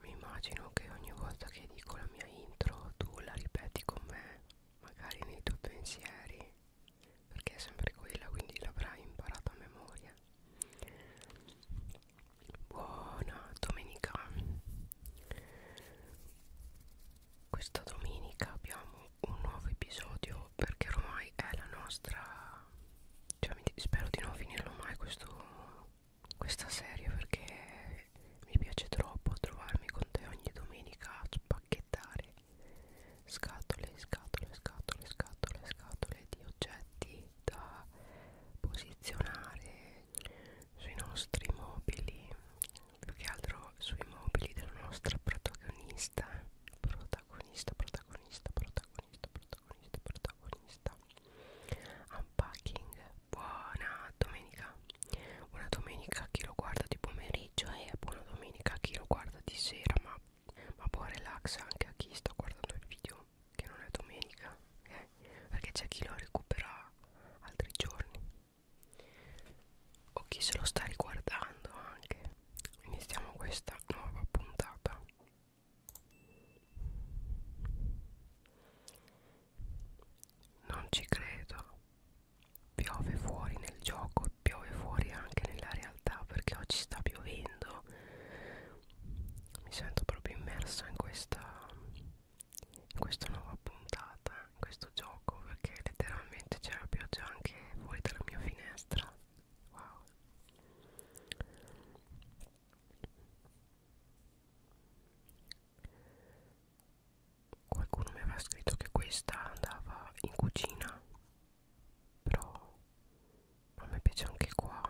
mi immagino che ogni volta che dico la mia intro tu la ripeti con me magari nei tuoi pensieri perché è sempre quella quindi l'avrai imparata a memoria buona domenica questa domenica abbiamo un nuovo episodio perché ormai è la nostra cioè, spero di non finirlo mai questo questa serie perché mi piace troppo trovarmi con te ogni domenica a spacchettare scatole, scatole, scatole, scatole, scatole di oggetti da posizionare sui nostri mobili, più che altro sui mobili della nostra protagonista, protagonista, protagonista, protagonista, protagonista, protagonista. Unpacking buona domenica buona domenica a chi lo guarda di pomeriggio e buona domenica a chi lo guarda di sera ma, ma buon relax anche a chi sta guardando il video che non è domenica eh? perché c'è chi lo recupera altri giorni o chi se lo sta riguardando anche iniziamo questa nuova puntata non ci credo. Piove fuori nel gioco, piove fuori anche nella realtà perché oggi sta piovendo. Mi sento proprio immersa in questa, in questa nuova puntata, in questo gioco perché letteralmente c'è la pioggia anche fuori dalla mia finestra. Wow qualcuno mi aveva scritto che questa andava in cucina però a me piace anche qua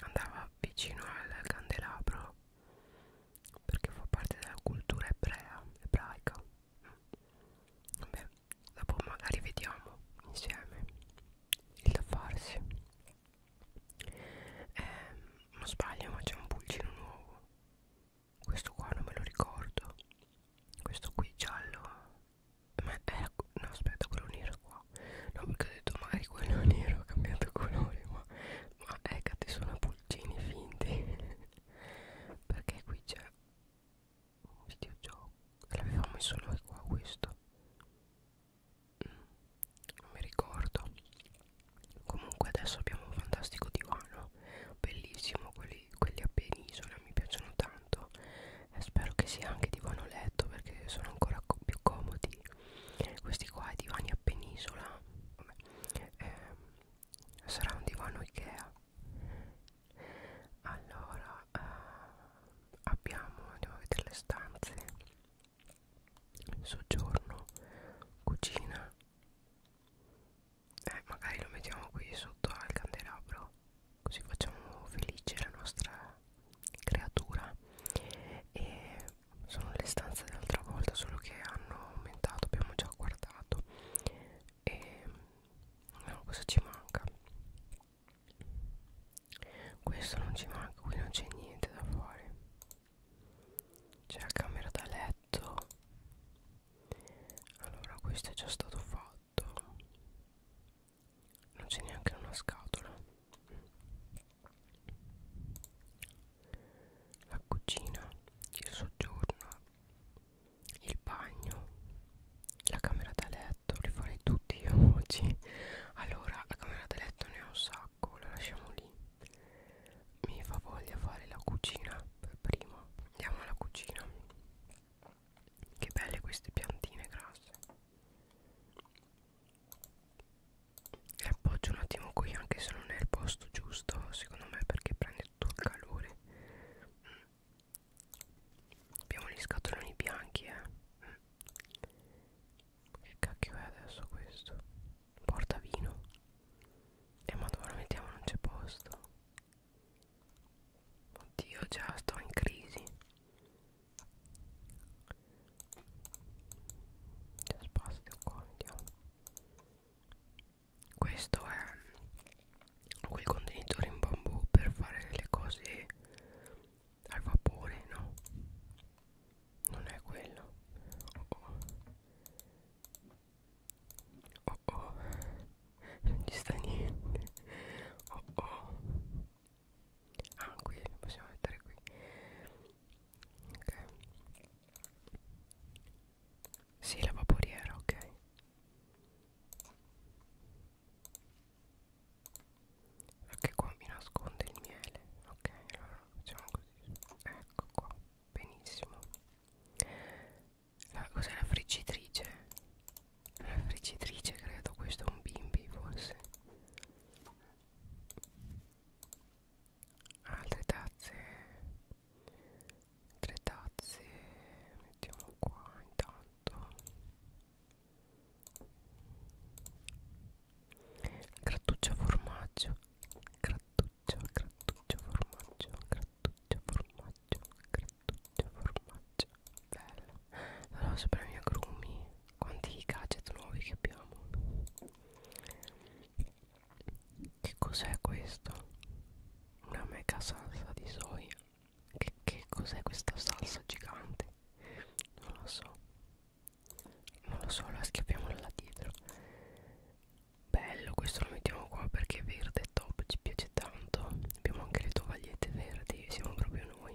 andava vicino al candelabro perché fa parte della cultura ebrea ebraica vabbè dopo magari vediamo insieme il da farsi ehm, non sbaglio ma c'è un pulcino nuovo questo qua non me lo ricordo questo qui giallo ma era no aspetta quello nero qua no perché ho detto magari quello nero ha cambiato colore ma, ma è che sono pulcini finti perché qui c'è un videogioco l'avevamo messo noi qua questo non mi ricordo comunque adesso abbiamo un fantastico divano bellissimo quelli, quelli a penisola mi piacciono tanto e spero che sia anche divano letto perché sono ancora co più comodi questi qua i divani a penisola vabbè, eh, sarà un divano Ikea allora eh, abbiamo andiamo a vedere le stanze soggiorno cucina eh, magari lo mettiamo qui sotto al candelabro così facciamo felice la nostra creatura e sono le stanze dell'altra volta solo che hanno aumentato abbiamo già guardato e no cosa ci manca questo non ci manca qui non c'è niente da fare c'è la camera da letto allora questo è già stato fatto non c'è neanche una scatola la cucina il soggiorno il bagno la camera da letto li farei tutti io oggi allora la camera da letto ne ho un sacco stacco la lasciamo lì mi fa voglia fare la cucina per prima andiamo alla cucina che belle queste piantine grasse le appoggio un attimo qui anche se non è il posto giusto secondo me perché prende tutto il calore mm. abbiamo gli scatoloni bianchi eh mm. Che cacchio è adesso questo? Porta vino E eh, ma dove lo mettiamo? Non c'è posto Oddio già sto in crisi C'è spazio qua vediamo Questo è quel contenitore in bambù per fare le cose al vapore no non è quello oh oh oh oh non ci sta niente oh oh ah qui lo possiamo mettere qui ok sì la vaporiera ok perché qua mi nasconde il miele ok allora facciamo così ecco qua benissimo cos'è la friggitrice la friggitrice credo questo è un bimbi forse altre tazze tre tazze mettiamo qua intanto grattuccio formaggio grattuccio grattuccio formaggio grattuccio formaggio grattuccio formaggio bello allora sopra i miei agrumi quanti gadget nuovi che abbiamo che cos'è questo una mega salsa di soia che, che cos'è questa salsa gigante non lo so non lo so la schiappiamo là dietro bello questo lo mettiamo qua perché è verde è top ci piace tanto abbiamo anche le tovagliette verdi siamo proprio noi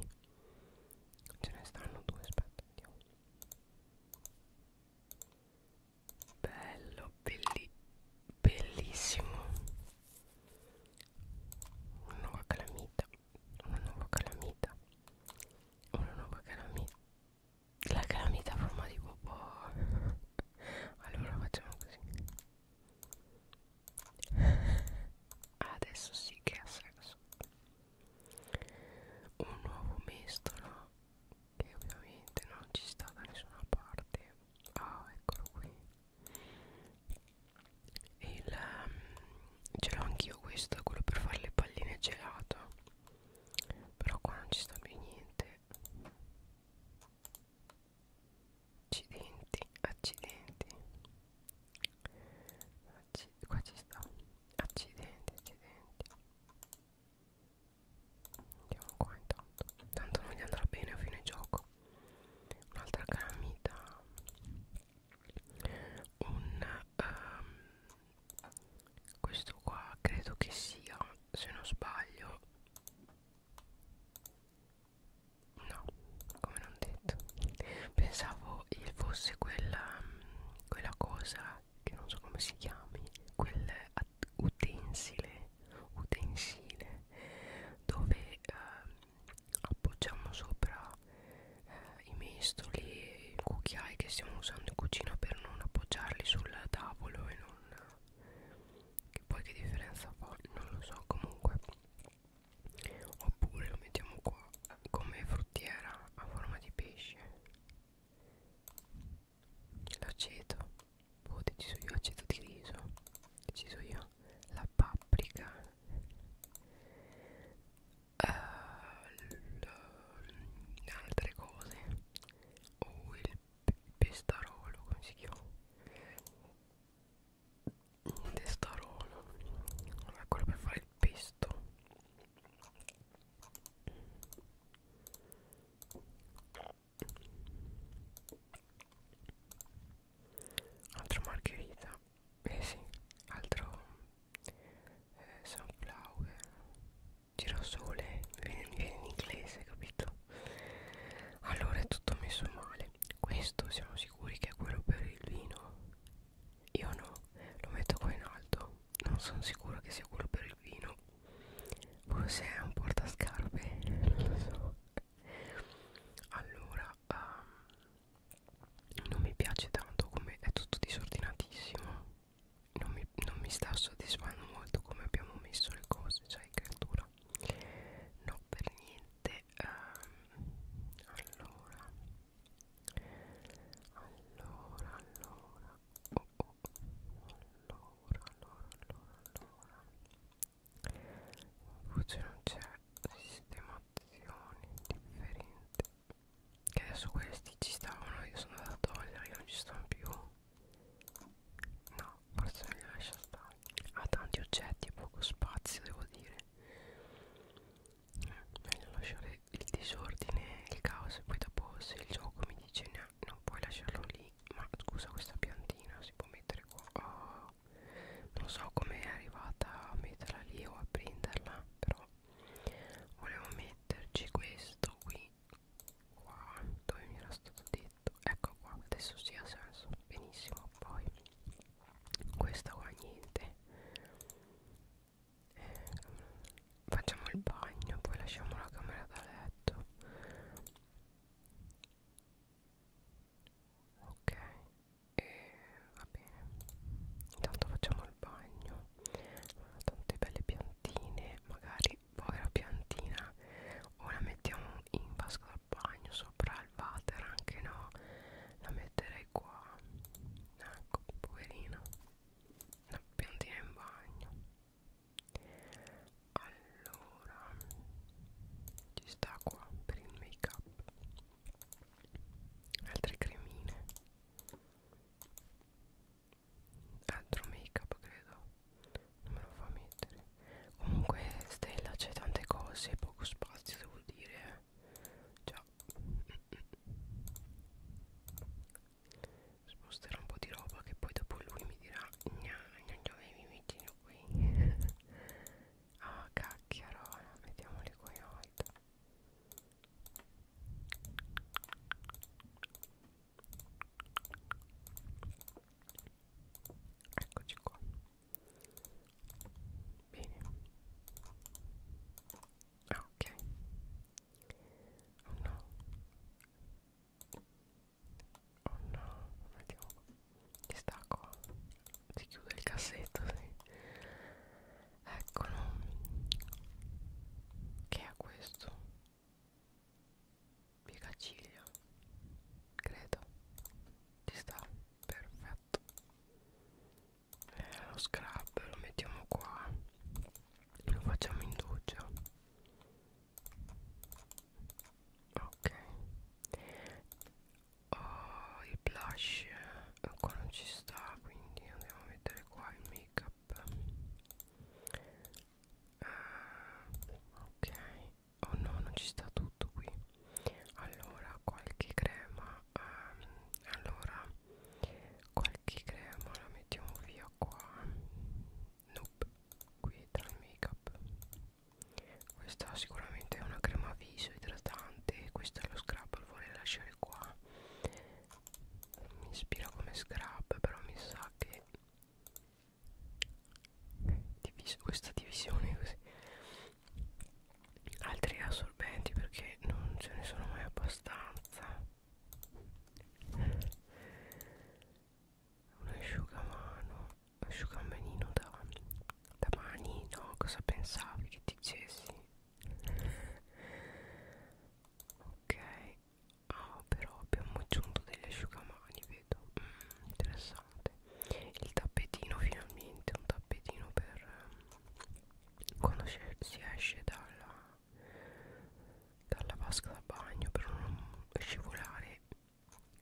ce ne stanno due aspetta vediamo bello belli, bellissimo una nuova calamita una nuova calamita una nuova calamita la calamita a forma di popò allora facciamo così adesso sì che ha senso un nuovo mestolo che ovviamente non ci sta da nessuna parte ah oh, eccolo qui il um, ce l'ho anch'io questo quello per fare le palline gelato però qua non ci sta più niente Accidenti, accidenti Acc Qua ci sta Accidenti, accidenti Andiamo qua intanto Tanto non gli andrà bene a fine gioco Un'altra calamita Un... Um, questo qua credo che sia se non sbaglio no come non detto pensavo il fosse quella quella cosa che non so come si chiami quel utensile utensile dove eh, appoggiamo sopra eh, i mestoli i cucchiai che stiamo usando in cucina per non appoggiarli sul tavolo e non che poi che differenza fa non lo so comunque oppure lo mettiamo qua come fruttiera a forma di pesce l'aceto ho oh, deciso io aceto di riso ho deciso io la paprika le altre cose o oh, il pestarolo come si chiama il testarolo è quello per fare il pesto altra margherita eh sì altro eh, sunflower girasole viene, viene in inglese capito allora è tutto messo male questo siamo sicuri che è quello per il vino io no lo metto qua in alto non sono sicuro che sia quello per il vino forse è un portascarpe non lo so allora um, non mi piace tanto come è tutto disordinatissimo non mi, non mi sta soddisfando molto come abbiamo messo le cose cioè in creatura no per niente um, allora allora allora oh, oh. allora allora allora allora voce non c'è sistemazione differente che adesso questi ci stavano io sono andata a togliere non ci stanno più no forse me li lascio stare ha tanti oggetti e poco spazio devo dire eh, meglio lasciare il disordine il caos e poi dopo se il gioco mi dice no, non puoi lasciarlo lì ma scusa questa piantina si può mettere qua oh, non so come è arrivata a metterla lì o a prenderla però volevo metterci questo qui qua dove mi era stato detto ecco qua adesso si sì, ha senso benissimo poi questa qua niente eh, facciamo il bagno poi lasciamo la camera da letto ok e va bene intanto facciamo il al bagno tante belle piantine magari povera piantina o la mettiamo in vasca da bagno sopra il water anche no la metterei qua ecco poverina una piantina in bagno allora ci sta qua per il make up altre cremine altro make up credo non me lo fa mettere comunque stella c'è tante cose poco spazio devo dire già sposterò un po' di roba che poi dopo lui mi dirà gna gna dove mi mettino qui ah cacchio mettiamoli qua in alto Eccoci qua. Bene. Ah, ok. Oh no. Oh no, vediamo. Distacco. Si chiude il cassetto, sì. Eccolo. Che è questo? piegaciglia credo ci sta perfetto eh, lo scrub lo mettiamo qua lo facciamo in doccia ok oh, il blush qua eh, non ci sta quindi andiamo a mettere qua il make up ah, ok oh no non ci sta tutto qui allora qualche crema ehm, allora qualche crema la mettiamo via qua nope qui tra il make up questa sicuramente è una crema viso idratante questo è lo scrub lo vorrei lasciare qua mi ispira come scrap però mi sa che divis questa divisione così altri assorbenti perché non ce ne sono mai abbastanza un asciugamano asciugamanino da, da mani no cosa pensavi che ti dicessi ok Ah però abbiamo aggiunto degli asciugamani vedo mm, Interessante Il tappetino finalmente Un tappetino per eh, Quando si esce dalla Dalla vasca da bagno Per non scivolare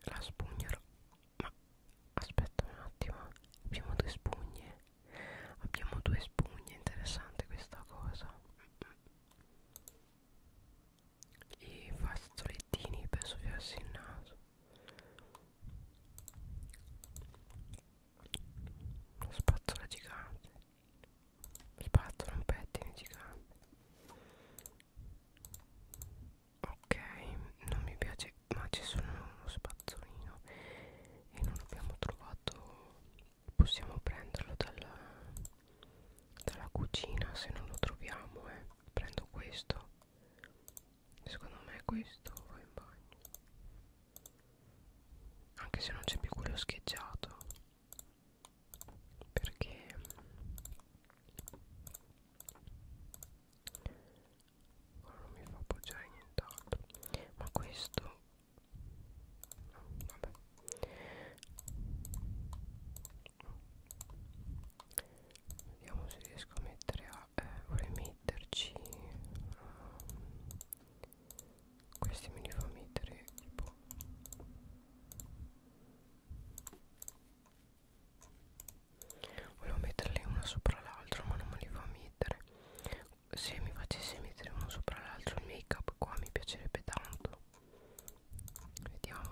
La spugna Ma aspetta un attimo Abbiamo due spugne Abbiamo due spugne Interessante questa cosa mm -mm e fa fazzolettini per soffiarsi il naso una spazzola gigante spazzola un pettine gigante ok non mi piace ma ci sono uno spazzolino e non abbiamo trovato possiamo prenderlo dalla, dalla cucina se non lo troviamo eh. prendo questo secondo me questo va in bagno anche se non c'è più quello scheggiato perché non mi fa appoggiare nient'altro ma questo Vabbè. Vediamo se riesco a mettere a eh, vorrei metterci um, questi me li fa mettere tipo volevo metterli una sopra l'altra ma non me li fa mettere se mi facesse mettere uno sopra l'altro il make up qua mi piacerebbe tanto vediamo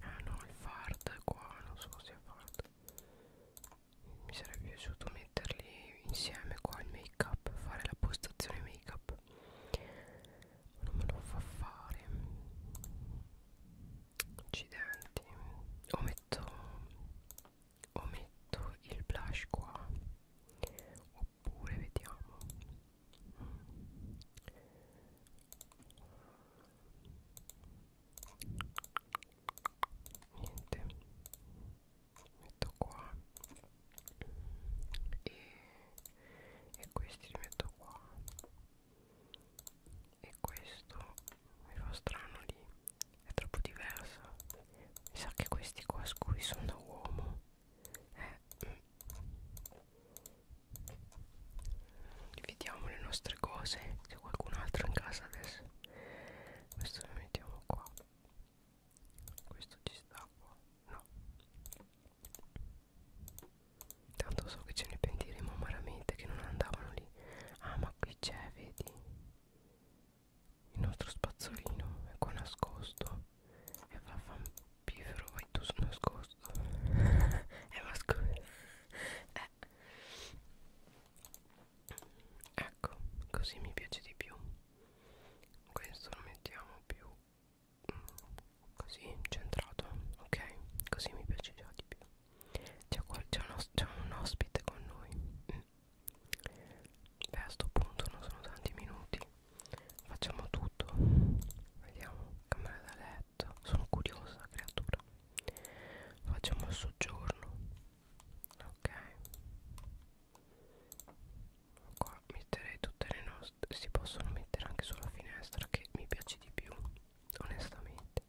ah no il fart qua non so se è fart mi sarebbe piaciuto metterli insieme qua il make up fare la postazione make up ma non me lo fa fare accidenti o metto o metto il blush qua oppure vediamo niente metto qua e, e questi li metto qua e questo mi fa strano lì è troppo diversa mi sa che questi qua scuri sono da uomo eh, dividiamo le nostre cose c'è qualcun altro in casa adesso questo lo mettiamo qua questo ci sta qua no tanto so che ce ne pentiremo amaramente che non andavano lì ah ma qui c'è vedi il nostro spazzolino è qua nascosto e va vampifero vai tu sono nascosto è nascosto eh. ecco così mi piace di più questo lo mettiamo più mm, così centrato ok così mi piace già di più c'è un, os un ospite con noi mm beh a sto punto non sono tanti minuti facciamo tutto vediamo camera da letto sono curiosa creatura facciamo il soggiorno ok qua metterei tutte le nostre si possono mettere anche sulla finestra che mi piace di più onestamente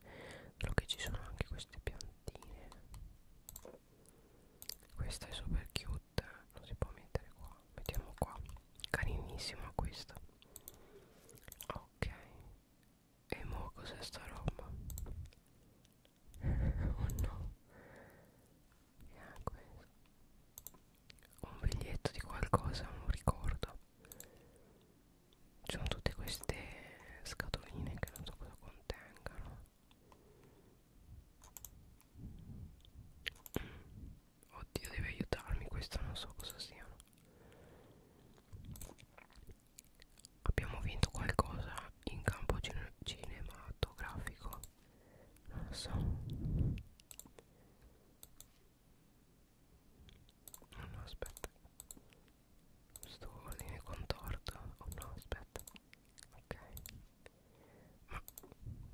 solo che ci sono anche queste piantine questa è super cute Non si può mettere qua Mettiamo qua Carinissima questa Ok E mo cos'è sta roba? oh no yeah, questo. Un biglietto di qualcosa Non ricordo ci sono tutte queste scatoline che non so cosa contengano Oddio deve aiutarmi questo non so cosa siano Abbiamo vinto qualcosa in campo cine cinematografico Non lo so No no aspetta Sto ordine contorto Oh no aspetta ok ma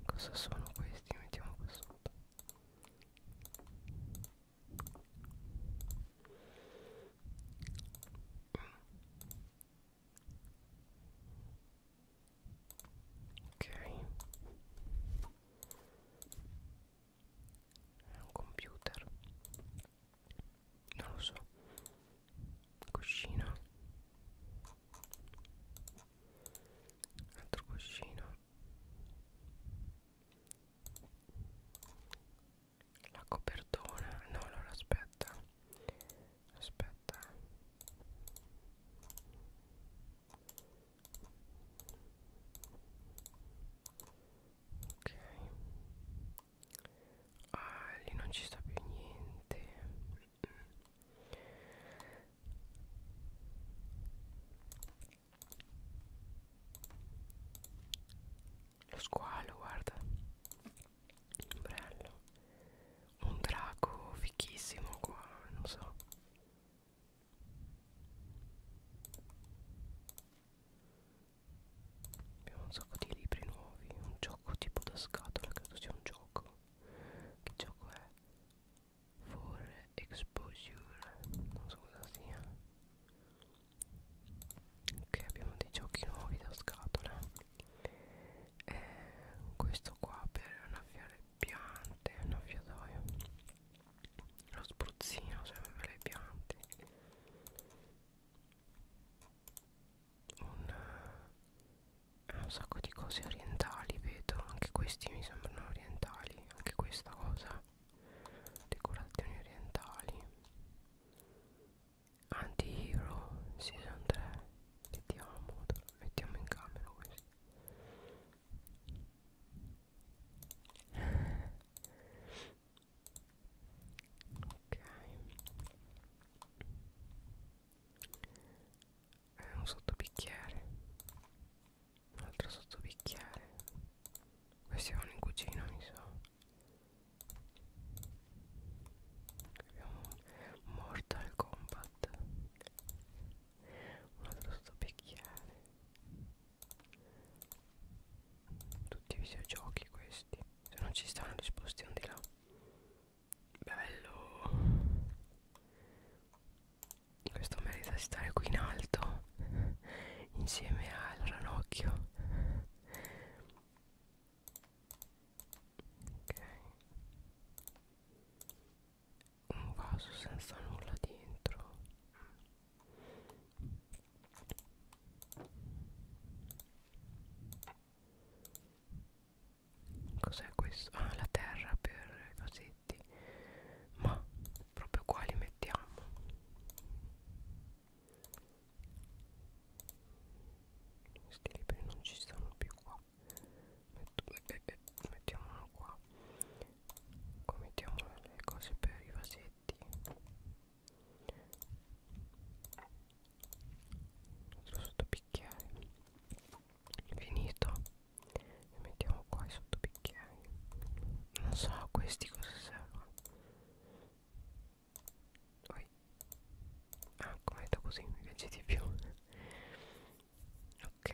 cosa sono questi mettiamo qua sotto ok è un computer non lo so cuscino altro cuscino la copertona no allora aspetta aspetta ok ah lì non ci sta più niente lo squalo, guarda. Bello. Un drago fichissimo qua, non so. Abbiamo un sacco di libri nuovi, un gioco tipo da scatola, credo sia un gioco. Che gioco è? For Exposure Non so cosa sia Ok abbiamo dei giochi nuovi da scatola e eh, Questo qua per annaffiare piante Annaffiatoio Lo spruzzino serve per le piante un, eh, un sacco di cose orientali vedo anche questi mi sembrano orientali anche questa cosa decorazioni orientali anti hero season 3 vediamo mettiamo in camera questo ok eh, un sottobicchiere un altro sottobicchiere questi vanno in cucina mi sa abbiamo un Mortal Kombat un altro sottobicchiere tutti i videogiochi questi se non ci stanno disposti un di là Bello Questo merita di stare qui in alto Insieme al ranocchio Ok Un vaso senza nulla dentro Cos'è questo? Ah, la terra per i vasetti. Ma proprio qua li mettiamo. Questi libri non ci stanno più qua. Metto, eh, eh, eh, mettiamolo qua. Qua mettiamo le cose per i vasetti. Altro sottopicchiere finito li mettiamo qua sotto bicchieri non so a questi cosa servono Oi. ah come detto così mi piace di più ok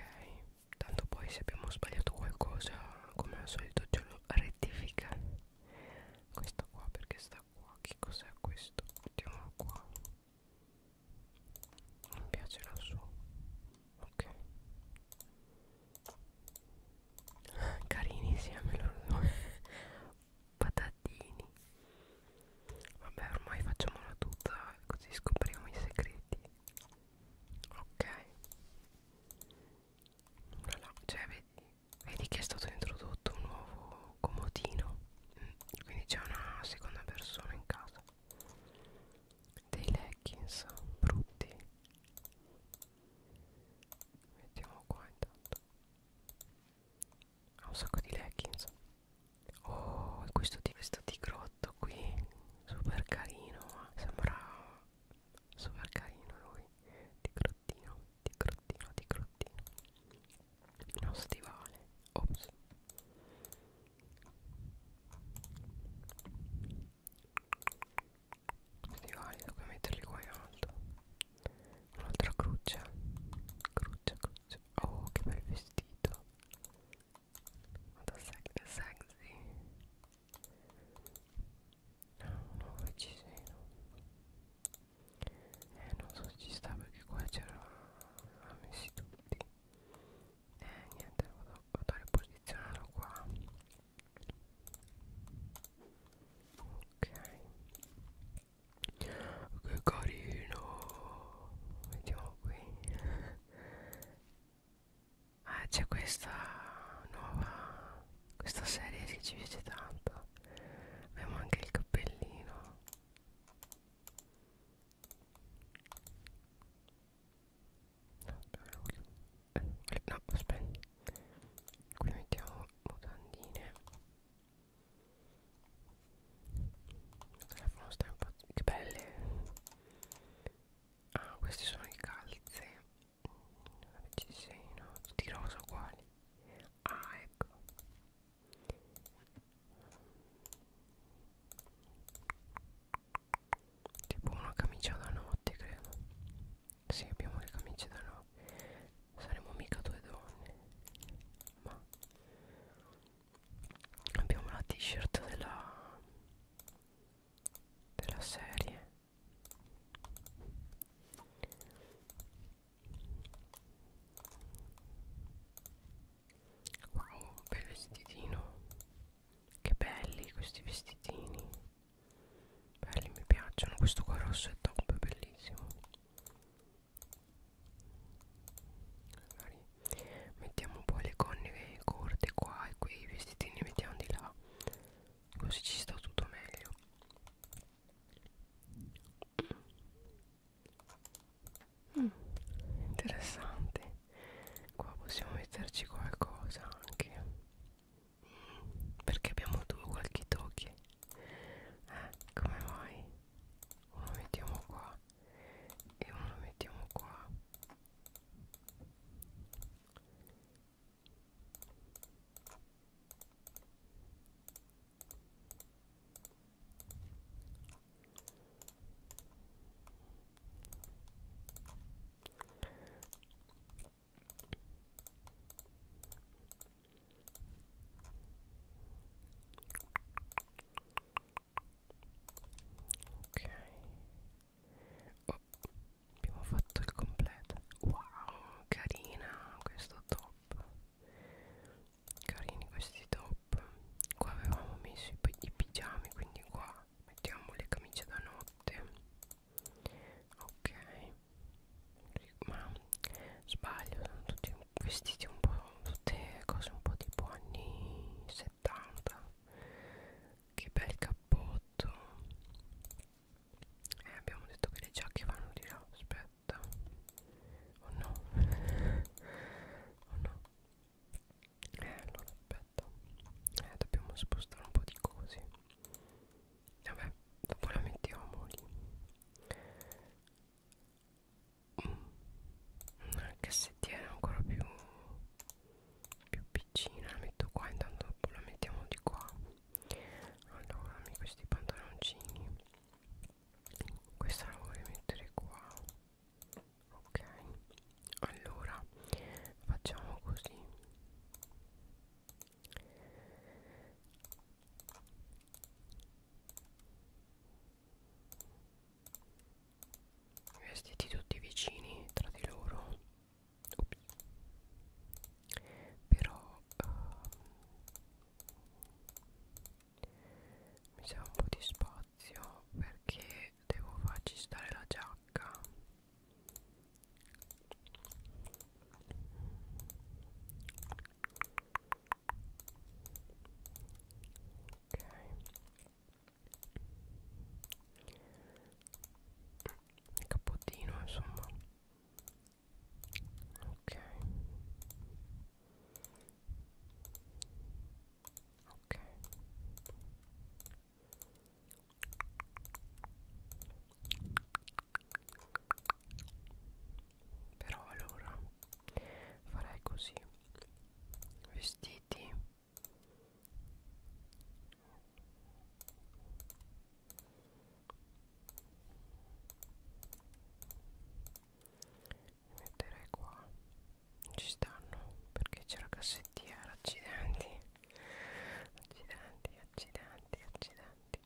tanto poi se abbiamo sbagliato qualcosa come al solito ce lo rettifica questa qua perché sta qua che cos'è questo mettiamolo qua non piacerà il suono ok carini insieme loro patatini vabbè ormai facciamola tutta così scopriamo i segreti ok cioè vedi, vedi che è stato introdotto un nuovo comodino mm, quindi c'è una seconda persona in casa dei leggings brutti mettiamo qua intanto ha un sacco di leggings oh e questo di questo di grotto qui super carino sembra super carino lui di grottino di grottino di grottino uno stivale ops stivali devo metterli qua in alto un'altra cruccia cruccia cruccia oh che bel vestito vado sexy sexy no no ci sono eh non so se ci sta perché qua c'era ha messi tutti e eh, niente vado, vado a riposizionarlo qua ok che carino vediamo qui ah c'è questa nuova questa serie che ci piace tanto abbiamo anche il cappellino eh, no, aspetta. Qui mettiamo mutandine. Il telefono sta un po'. Che belle! Ah, questi sono i calze. Ci sei, no? Tutti rosa uguali. Ah, ecco. Tipo una camicia da notte credo Sì abbiamo le camicie da notte Saremo mica due donne Ma Abbiamo la t-shirt della Della serie wow bel vestitino che belli questi vestitini belli mi piacciono questo qua rosso è top bellissimo mettiamo un po' le conne corte qua e qui i vestitini li mettiamo di là così ci sta tutto meglio Mm, interessante qua possiamo metterci qualcosa anche mm, perché abbiamo due qualche tocchi eh, come mai uno mettiamo qua e uno mettiamo qua Ok oh, abbiamo fatto il completo wow carina questo top carini questi top qua avevamo messo i, i pigiami quindi qua mettiamo le camicie da notte ok ma sbaglio sono tutti vestiti un po' tutte cose un po' tipo anni 70 che bel cappotto e eh, abbiamo detto che le giacche vanno di là aspetta o oh no o oh no eh allora aspetta eh dobbiamo spostare un po' di cose vabbè dopo la mettiamo lì una mm. cassettiera ancora più più piccina la metto qua intanto dopo la mettiamo di qua allora questi pantaloncini questa la vorrei mettere qua ok allora facciamo così vestiti tutti vicini tra di loro Ups. però uh, mi serve un po' di spazio perché devo farci stare la giacca ok il cappottino insomma ok ok però allora farei così vestiti li metterei qua non ci stanno perché c'è la cassettiera eh, accidenti accidenti accidenti accidenti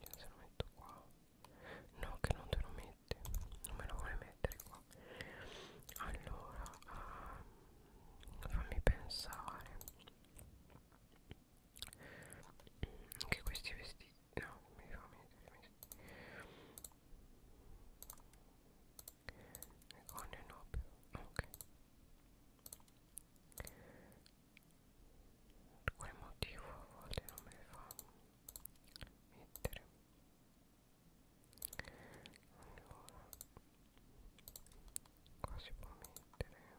io se lo metto qua no che non te lo mette non me lo vuole mettere qua allora uh, fammi pensare anche questi vestiti no mi fa le gonne no però ah, ok per quale motivo a volte non me le fa mettere allora qua si può mettere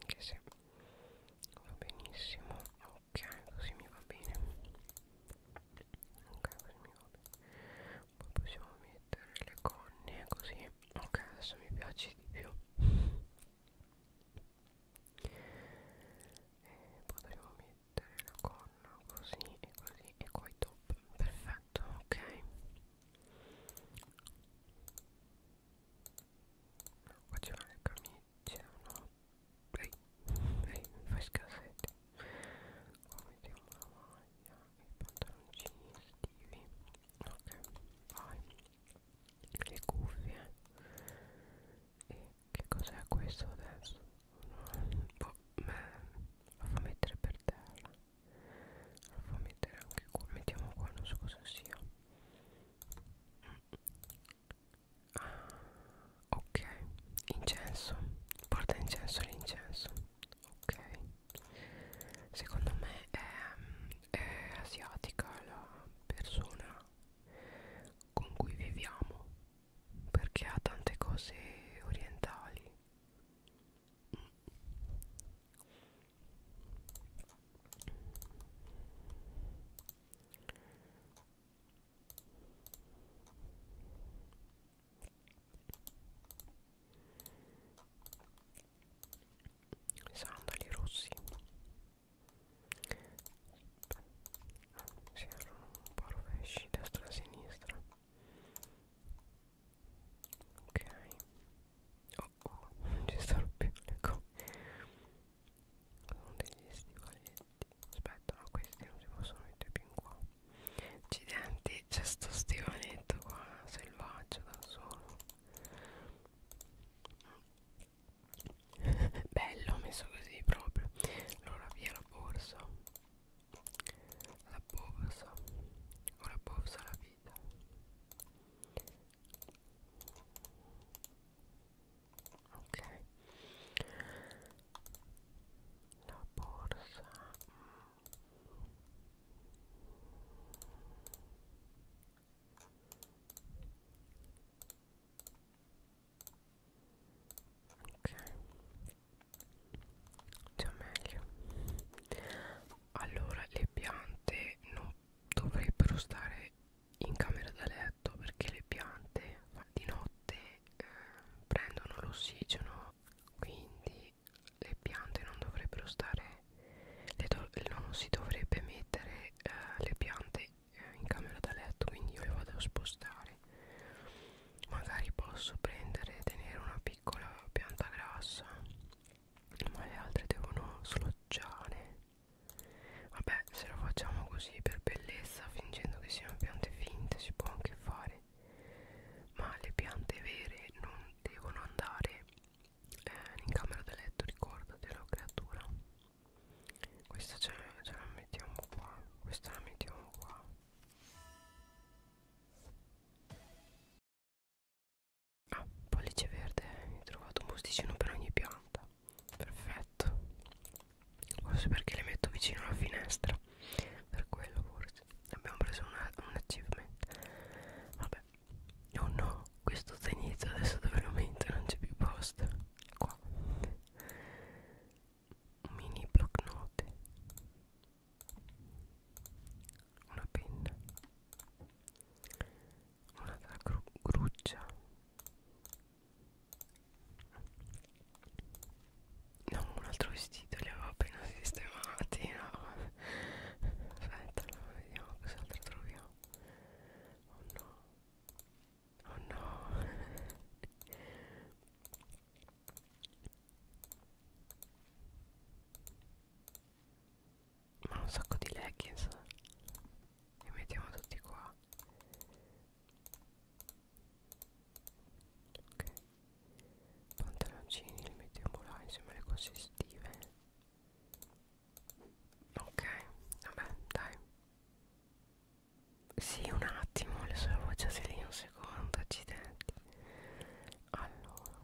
anche se va benissimo ok così mi va bene ok così mi va bene poi possiamo mettere le conne così ok adesso mi piace di più e poi dobbiamo mettere mettere la corna così e così e qua i top perfetto ok no, qua c'è una camicia no ehi ehi fai scassette qua mettiamo la maglia e i pantaloncini estivi ok vai le cuffie e che cos'è questo adesso? No, boh, lo fa mettere per terra Lo fa mettere anche qua Mettiamo qua, non so cosa sia ah, Ok, incenso Porta incenso l'incenso Ok Secondo me è, è asiatica la persona con cui viviamo perché ha tante cose orientali sandali rossi si erano un po' rovesci destra e sinistra ok oh oh non ci stanno più le cose sono degli stivaletti aspetta no questi non si possono mettere più in qua accidenti c'è sto stivaletto qua selvaggio da solo bello messo così proprio allora via la borsa la borsa o la borsa la vita ok la borsa ok già meglio allora le piante non dovrebbero stare in camera da letto perché le piante di notte eh, prendono l'ossigeno quindi le piante non dovrebbero stare do non si dovrebbe mettere eh, le piante eh, in camera da letto quindi io le vado a spostare magari posso prendere e tenere una piccola pianta grassa ma le altre devono sloggiare vabbè se lo facciamo così per bellezza fingendo che siano piante finte si può anche fare ma le piante vere non devono andare eh, in camera da letto ricordatelo creatura questa ce la, ce la mettiamo qua Questa la mettiamo qua Ah, pollice verde Ho trovato un posticino per ogni pianta Perfetto Forse perché le metto vicino alla finestra Per quello forse Abbiamo preso una, un achievement Vabbè Oh no, questo sta inizio adesso dove lo metto non c'è più posto Qua mini block note una penna una gru gruccia no un altro vestito li avevo appena sistemati no aspetta vediamo cos'altro troviamo oh no Oh no Ma un sacco di leggings Li mettiamo tutti qua Ok Pantaloncini li mettiamo là insieme alle cose estive Ok Vabbè dai sì, un attimo, le sue voci se lì un secondo, accidenti. Allora,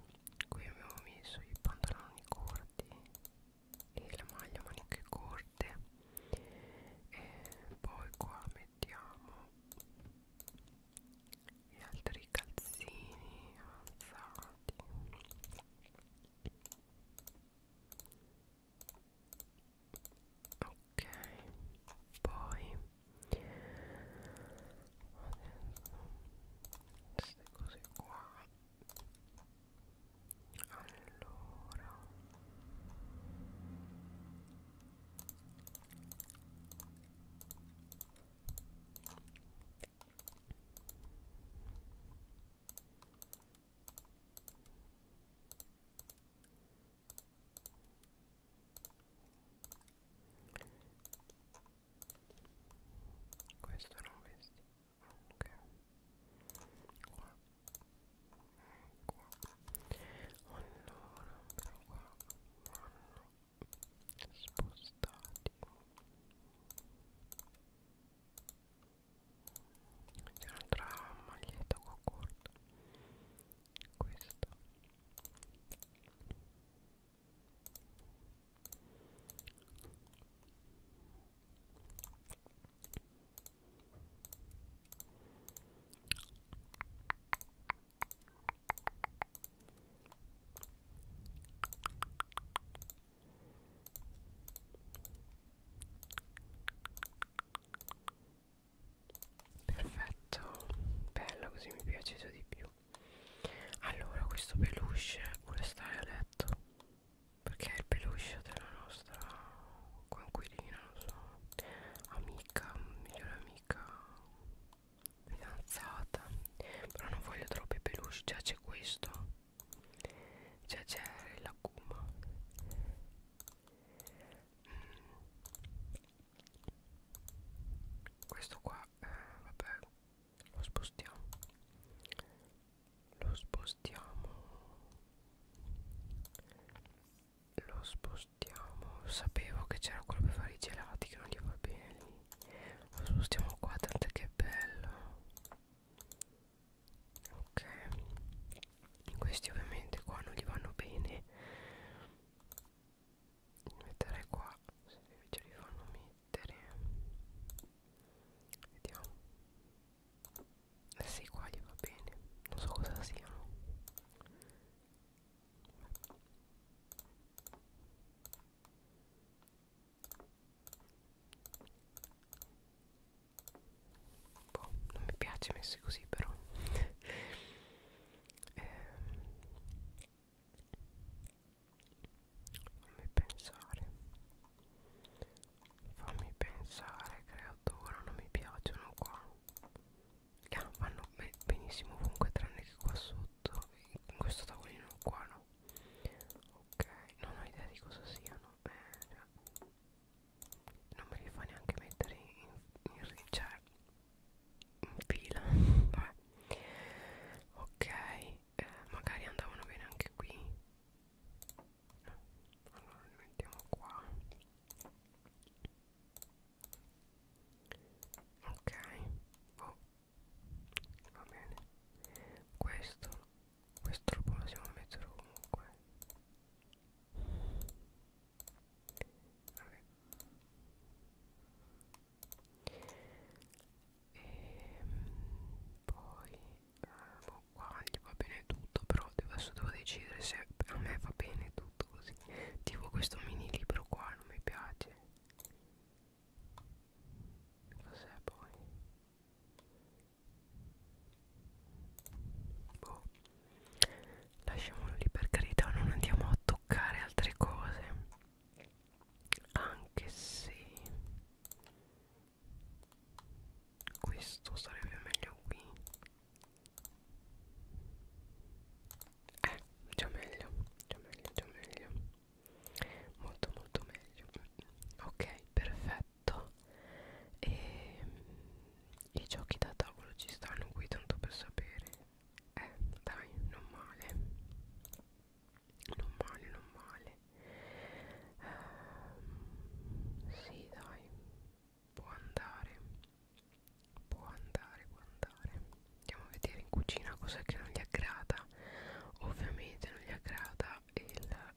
qui abbiamo messo i pantaloni corti e la maglia maniche corte. E poi qua mettiamo gli altri calzini avanzati ok poi adesso queste cose qua allora ok questo non vesti ok qua qua allora però qua vanno spostati c'è un'altra maglietta qua corta questo Perfetto, bello così mi è piaciuto di più. Allora, questo peluche vuole stare a letto perché è il peluche della nostra coinquilina, non so, amica, migliore amica, fidanzata. Però non voglio troppi peluche, già c'è questo, già c'è la guma questo qua eh, vabbè lo spostiamo lo spostiamo lo spostiamo sapevo che c'era quello per fare i gelati che non gli va bene lì lo spostiamo qua tanto che è bello ok questi ovviamente qua non gli vanno bene li metterei qua se invece li fanno mettere vediamo eh sì qua gli va bene non so cosa siano boh, non mi piace messi così però ehm, fammi pensare fammi pensare creatura non mi piacciono qua ah, vanno be benissimo ovunque tranne che qua sotto in questo tavolino qua no ok non ho idea di cosa siano eh, non me li fa neanche mettere in, in, in, cioè, in fila Vabbè. ok eh, magari andavano bene anche qui no. allora li mettiamo qua ok oh. va bene questo questo lo possiamo mettere comunque Vabbè. E poi eh, boh, qua gli va bene tutto, però adesso devo decidere se a me va bene tutto così. Tipo questo mini libro qua non mi piace. Cos'è poi? boh. lasciamolo lì per carità non andiamo a toccare altre cose anche se questo sarebbe meglio qui eh già meglio già meglio già meglio molto molto meglio ok perfetto e ehm, i giochi da tavolo ci stanno qui tanto per sapere eh dai non male non male non male ehm, sì dai può andare può andare può andare andiamo a vedere in cucina cos'è che non gli aggrada ovviamente non gli aggrada il eh,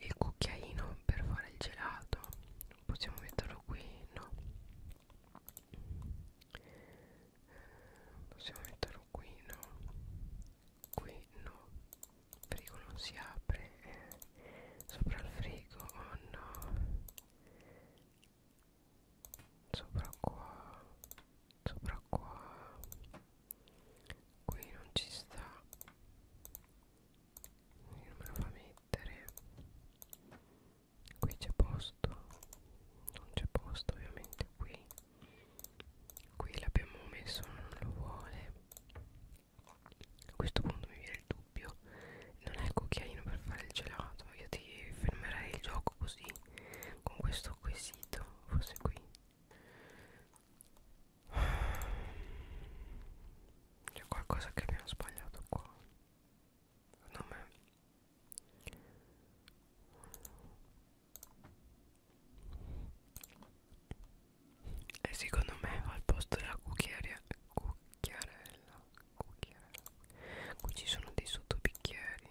il cucchiaino per fare il gelato possiamo metterlo qui no possiamo metterlo qui no qui no il frigo non si apre eh. sopra il frigo oh no sopra qua sopra qua qui non ci sta non me lo fa mettere qui c'è posto non c'è posto ovviamente qui qui l'abbiamo messo non lo vuole a questo punto mi viene il dubbio non è il cucchiaino per fare il gelato io ti fermerei il gioco così con questo quesito forse qui c'è qualcosa che abbiamo sbagliato qua. Secondo me. E eh, secondo me al posto della cucchiaria cucchiarella, cucchiarella. Qui ci sono dei sottobicchieri.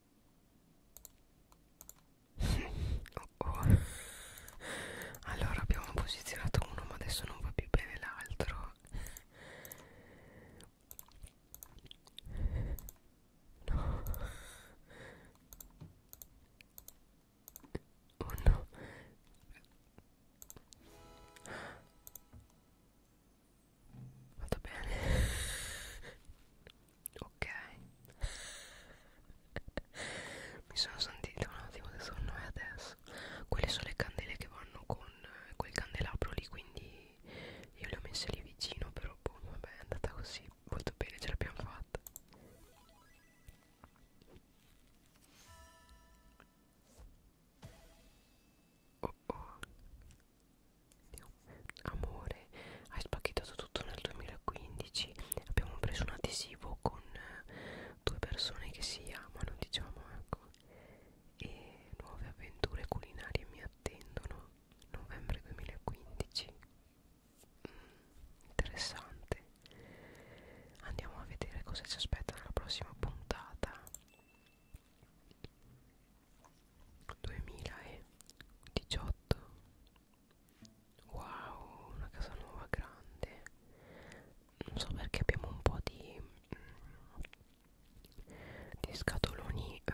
oh oh. Allora abbiamo posizionato uno ma adesso non va più bene l'altro No Oh no Vado bene? ok Mi sono sentita un attimo di sonno e adesso Quelle sono le candele che vanno con eh, quel candelabro lì Quindi io le ho messe lì vicino Però boh, vabbè è andata così Molto bene, ce l'abbiamo fatta Oh oh Andiamo. Amore, hai spacchettato tutto nel 2015. Abbiamo preso un adesivo con eh, due persone che si amano, diciamo, ecco. E nuove avventure culinarie mi attendono. Novembre 2015. Mm, interessante. Andiamo a vedere cosa ci aspetta nella prossima puntata. 2018 wow una casa nuova grande non so perché abbiamo un po' di, mm, di scatoloni eh,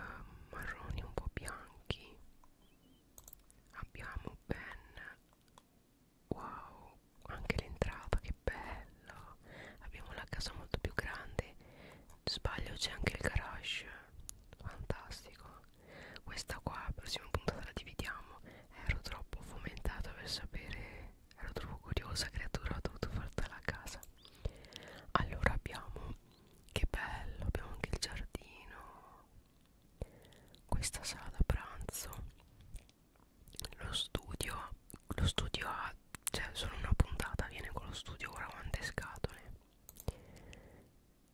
marroni un po' bianchi abbiamo ben wow anche l'entrata che bello abbiamo la casa molto più grande sbaglio c'è anche il garage fantastico questa qua la prossima puntata la dividiamo ero troppo fomentata per sapere ero troppo curiosa creatura ho dovuto fartela a casa allora abbiamo che bello abbiamo anche il giardino questa sala da pranzo lo studio lo studio ha cioè solo una puntata viene con lo studio ora quante scatole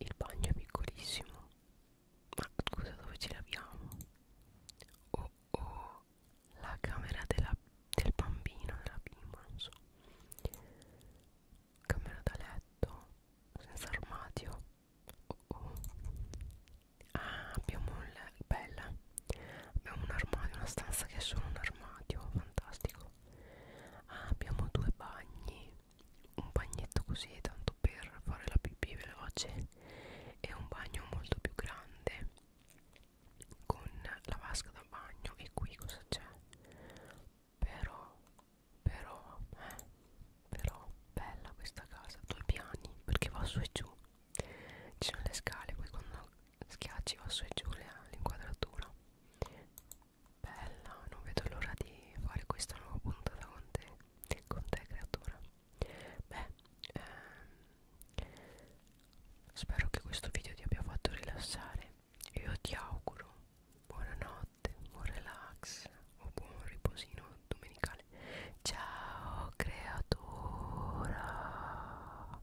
il bagno è piccolissimo ma scusa dove ci laviamo oh oh la camera della, del bambino della bimba non so camera da letto senza armadio oh oh ah abbiamo un bella abbiamo un armadio una stanza che è solo un armadio fantastico ah, abbiamo due bagni un bagnetto così tanto per fare la pipì veloce e un bagno molto più grande con la vasca da bagno e qui cosa c'è però però eh, però bella questa casa due piani perché va su e giù ci sono le scale poi quando schiacci va su e giù l'inquadratura Bella, non vedo l'ora di fare questa nuova puntata con te, con te creatura. Beh, ehm, spero che questo video ti abbia fatto rilassare. Io ti auguro buonanotte, buon relax o buon riposino domenicale. Ciao creatura.